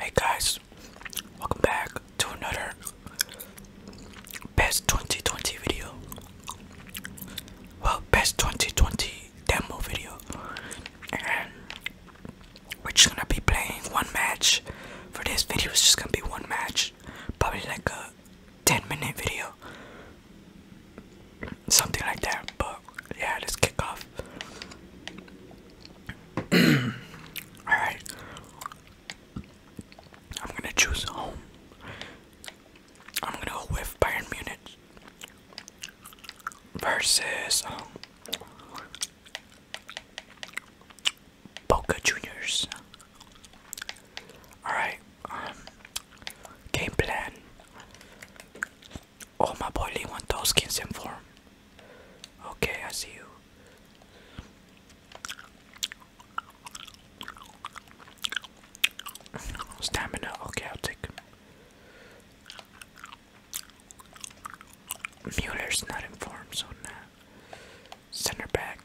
Hey guys, welcome back to another best 2020 video. Well, best 2020 demo video. And we're just gonna be playing one match. For this video, it's just gonna be one match. Probably like a 10 minute video. Something like that. But yeah, let's kick off. Alright. I'm gonna choose home. I'm gonna go with Bayern Munich versus um, Boca Juniors. Alright, um, game plan. Oh, my boy Lee wants those skins in form. Okay, I see you. Stamina, okay, I'll Mueller's not informed, so nah. Center back.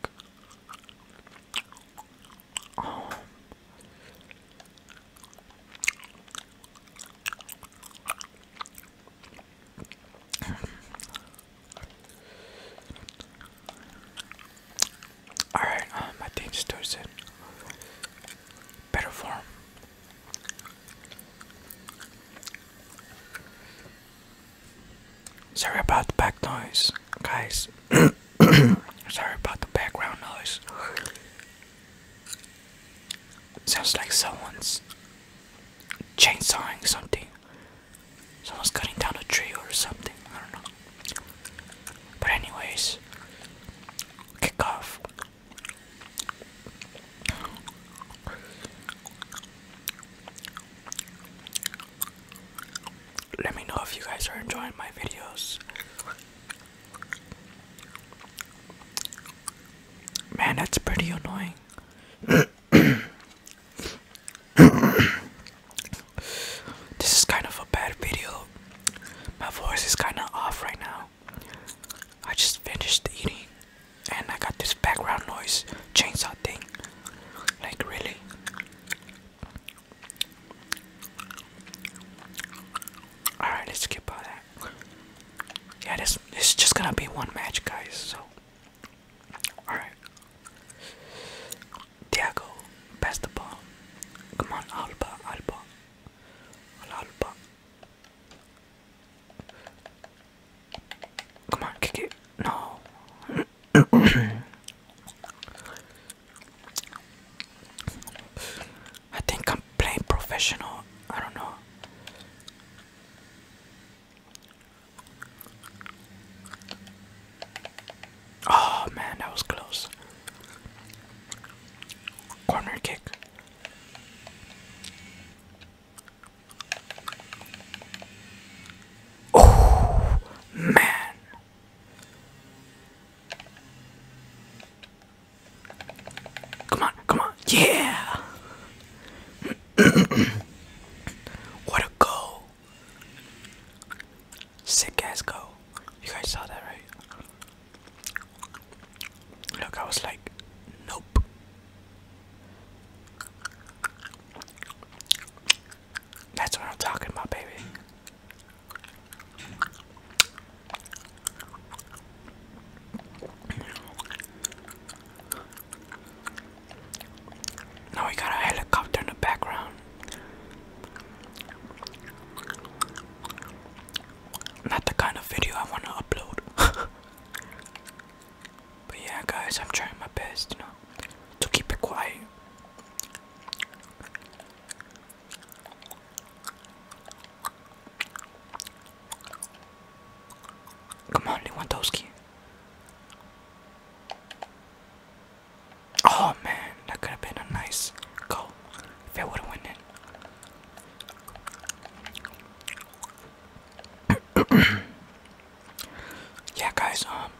Alright, uh, my team stores in better form. Sorry about the back noise, guys. Sorry about the background noise. sounds like someone's chainsawing something. Someone's cutting down a tree or something. I don't know. But anyways, kick off. Let me know if you guys are enjoying my videos. Man, that's pretty annoying. this is kind of a bad video. My voice is kind of off right now. I just finished eating and I got this background noise chainsaw thing. Like, really? Alright, let's skip all that. Yeah, this it's just gonna be one match, guys. So, all right. Diago, pass ball. Come on, Alba, Alba, Alba. Come on, kick it. No. I think I'm playing professional. I don't know. Oh man, that was close. Corner kick. Oh man. Come on, come on. Yeah. what a goal! Sick ass goal. You guys saw that, right? Look, I was like, nope. That's what I'm talking about, baby. Now we got a helicopter in the background. Not the kind of video I want to upload. but yeah, guys, I'm trying my best, you know, to keep it quiet. Come on, Lewandowski. Oh man, that could have been a nice goal if it would have went in. yeah, guys. Um,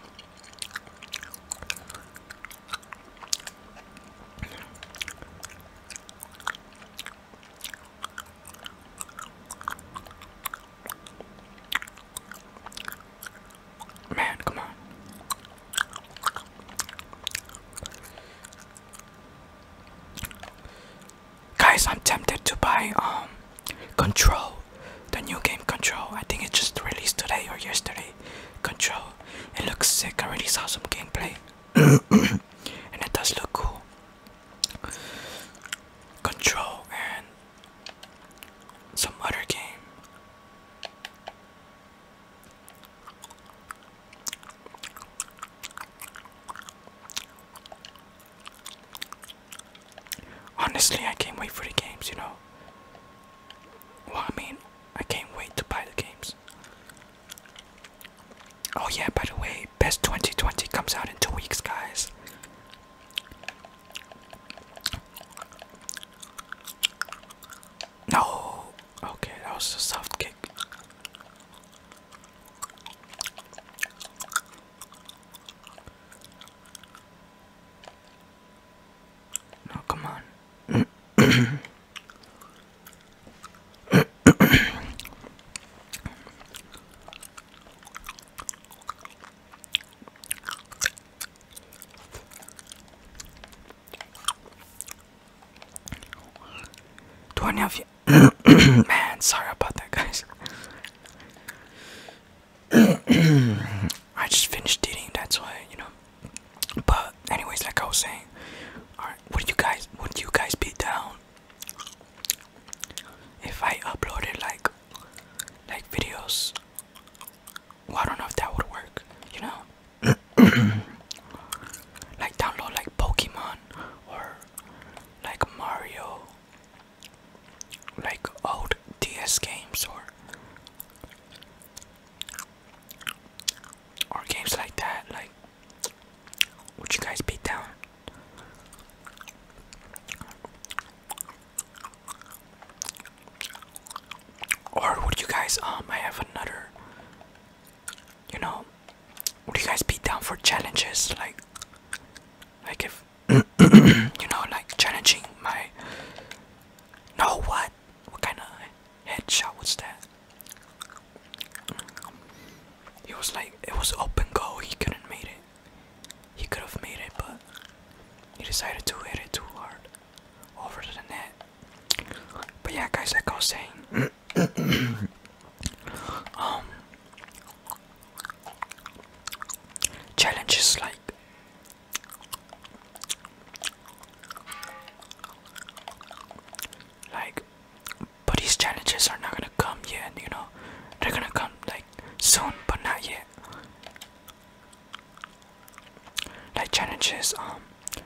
Man, come on. Guys, I'm tempted to buy um Control, the new game Control. I think it just released today or yesterday. Control. It looks sick. I already saw some gameplay. and it does look cool. Control and some other game. Honestly, I can't wait for the games, you know. Well, I mean, I can't wait to buy the games. Oh yeah, by the way, Best 2020 comes out in two weeks, guys. No, okay, that was a soft kick. No, come on. Do any of you man, sorry about that guys. I just finished eating, that's why, you know. But anyways, like I was saying, alright, would you guys would you guys be down if I uploaded like like videos I don't know if that would work you know like download like Pokemon or like Mario like old DS games or or games like that like would you guys be down? Or would you guys um I have another you know would you guys be down for challenges like like if you know like challenging my No what? What kind of headshot was that? It was like it was up and go. He couldn't make it. He could have made it, but he decided to hit it too hard over to the net. But yeah, guys, that goes saying, um, challenges like. Like but these challenges are not gonna come yet, you know. They're gonna come like soon, but not yet. Like challenges, um,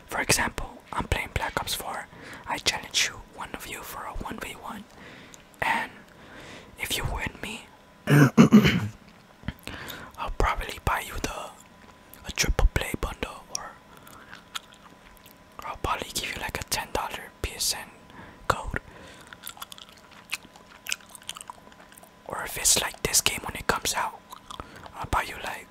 for example, I'm playing Black Ops 4. I challenge you, one of you, for a 1v1, and if you win me, I'll probably buy you the a triple play bundle or I'll probably give you like a ten dollar PSN code. Or if it's like this game when it comes out, I'll buy you like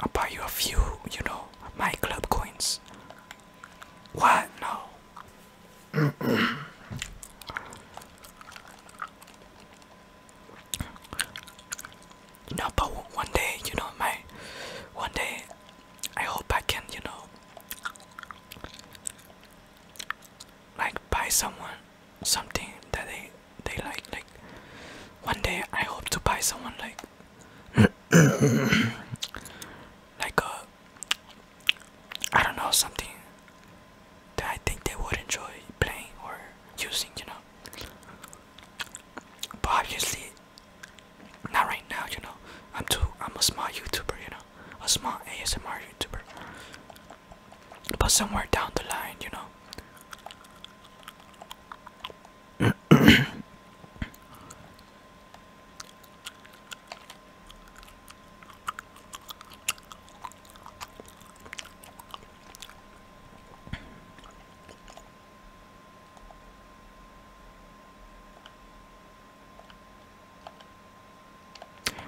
I'll buy you a few, you know, my club coins. What? No. No, but one day, you know, my one day, I hope I can, you know, like buy someone something that they they like. Like one day, I hope to buy someone like like a uh, I don't know something that I think they would enjoy playing or using, you know. But obviously, not right now, you know. I'm too. I'm a small YouTuber, you know, a small ASMR YouTuber. But somewhere down the line, you know.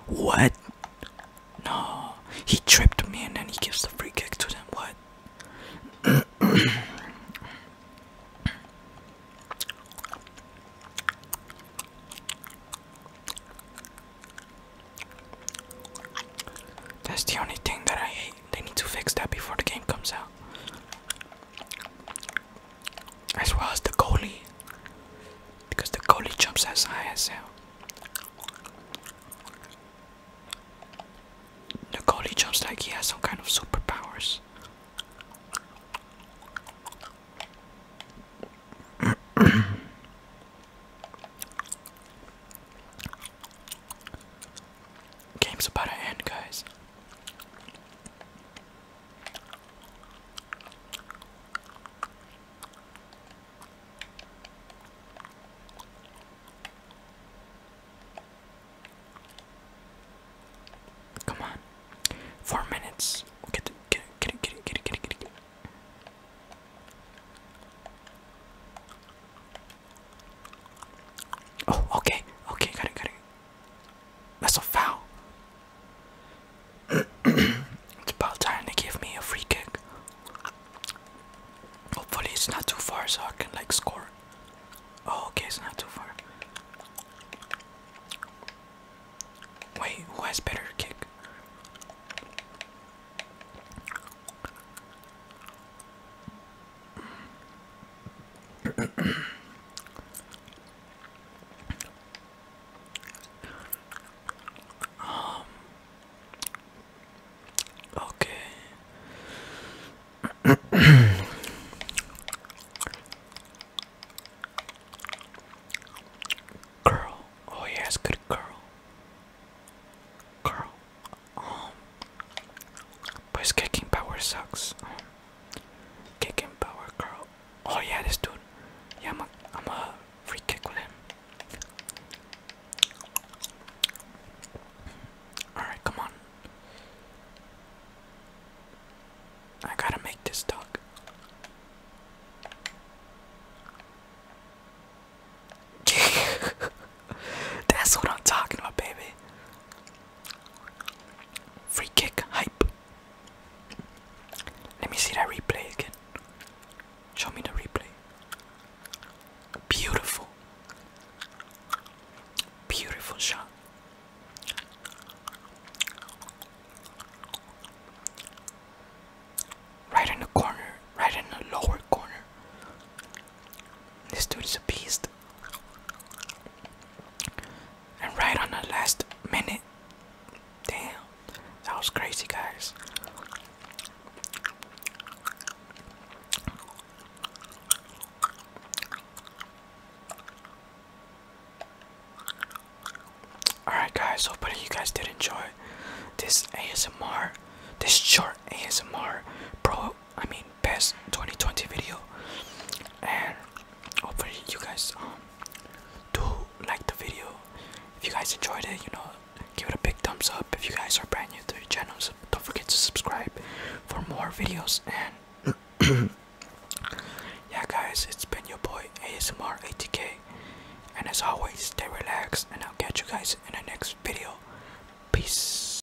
What? No, he tripped me and then he gives the free kick to them. What? That's the only thing that I hate. They need to fix that before the game comes out as well as the goalie because the goalie jumps as high as hell. The goalie jumps like he has some kind of superpowers. Game's about to end, guys. Come on. Four minutes. Get it, get it, get it, get it, get it, get it, get it. Oh, okay, okay, got it, got it. That's a foul. it's about time they give me a free kick. Hopefully it's not too far so I can like score. Oh, okay, it's not too far. Wait, who has better kick? okay. Girl. Oh yes, good girl. Girl. Um, but kicking power sucks. kicking power, girl. Oh yeah, this dude. Yeah, I'm a, I'm a free kick with him. Alright, come on. I gotta make this talk. That's what I'm talking about, baby. Free kick hype. Let me see that replay again. Show me the replay. Beautiful. Beautiful shot. Right in the corner, right in the lower corner. This dude is a beast. And right on the last minute. Damn. That was crazy, guys. Alright guys, hopefully you guys did enjoy this ASMR, this short ASMR, bro, i mean best 2020 video and hopefully you guys um do like the video if you guys enjoyed it you know give it a big thumbs up if you guys are brand new to the channel don't forget to subscribe for more videos and yeah guys it's been your boy asmr atk and as always stay relaxed and i'll catch you guys in the next video peace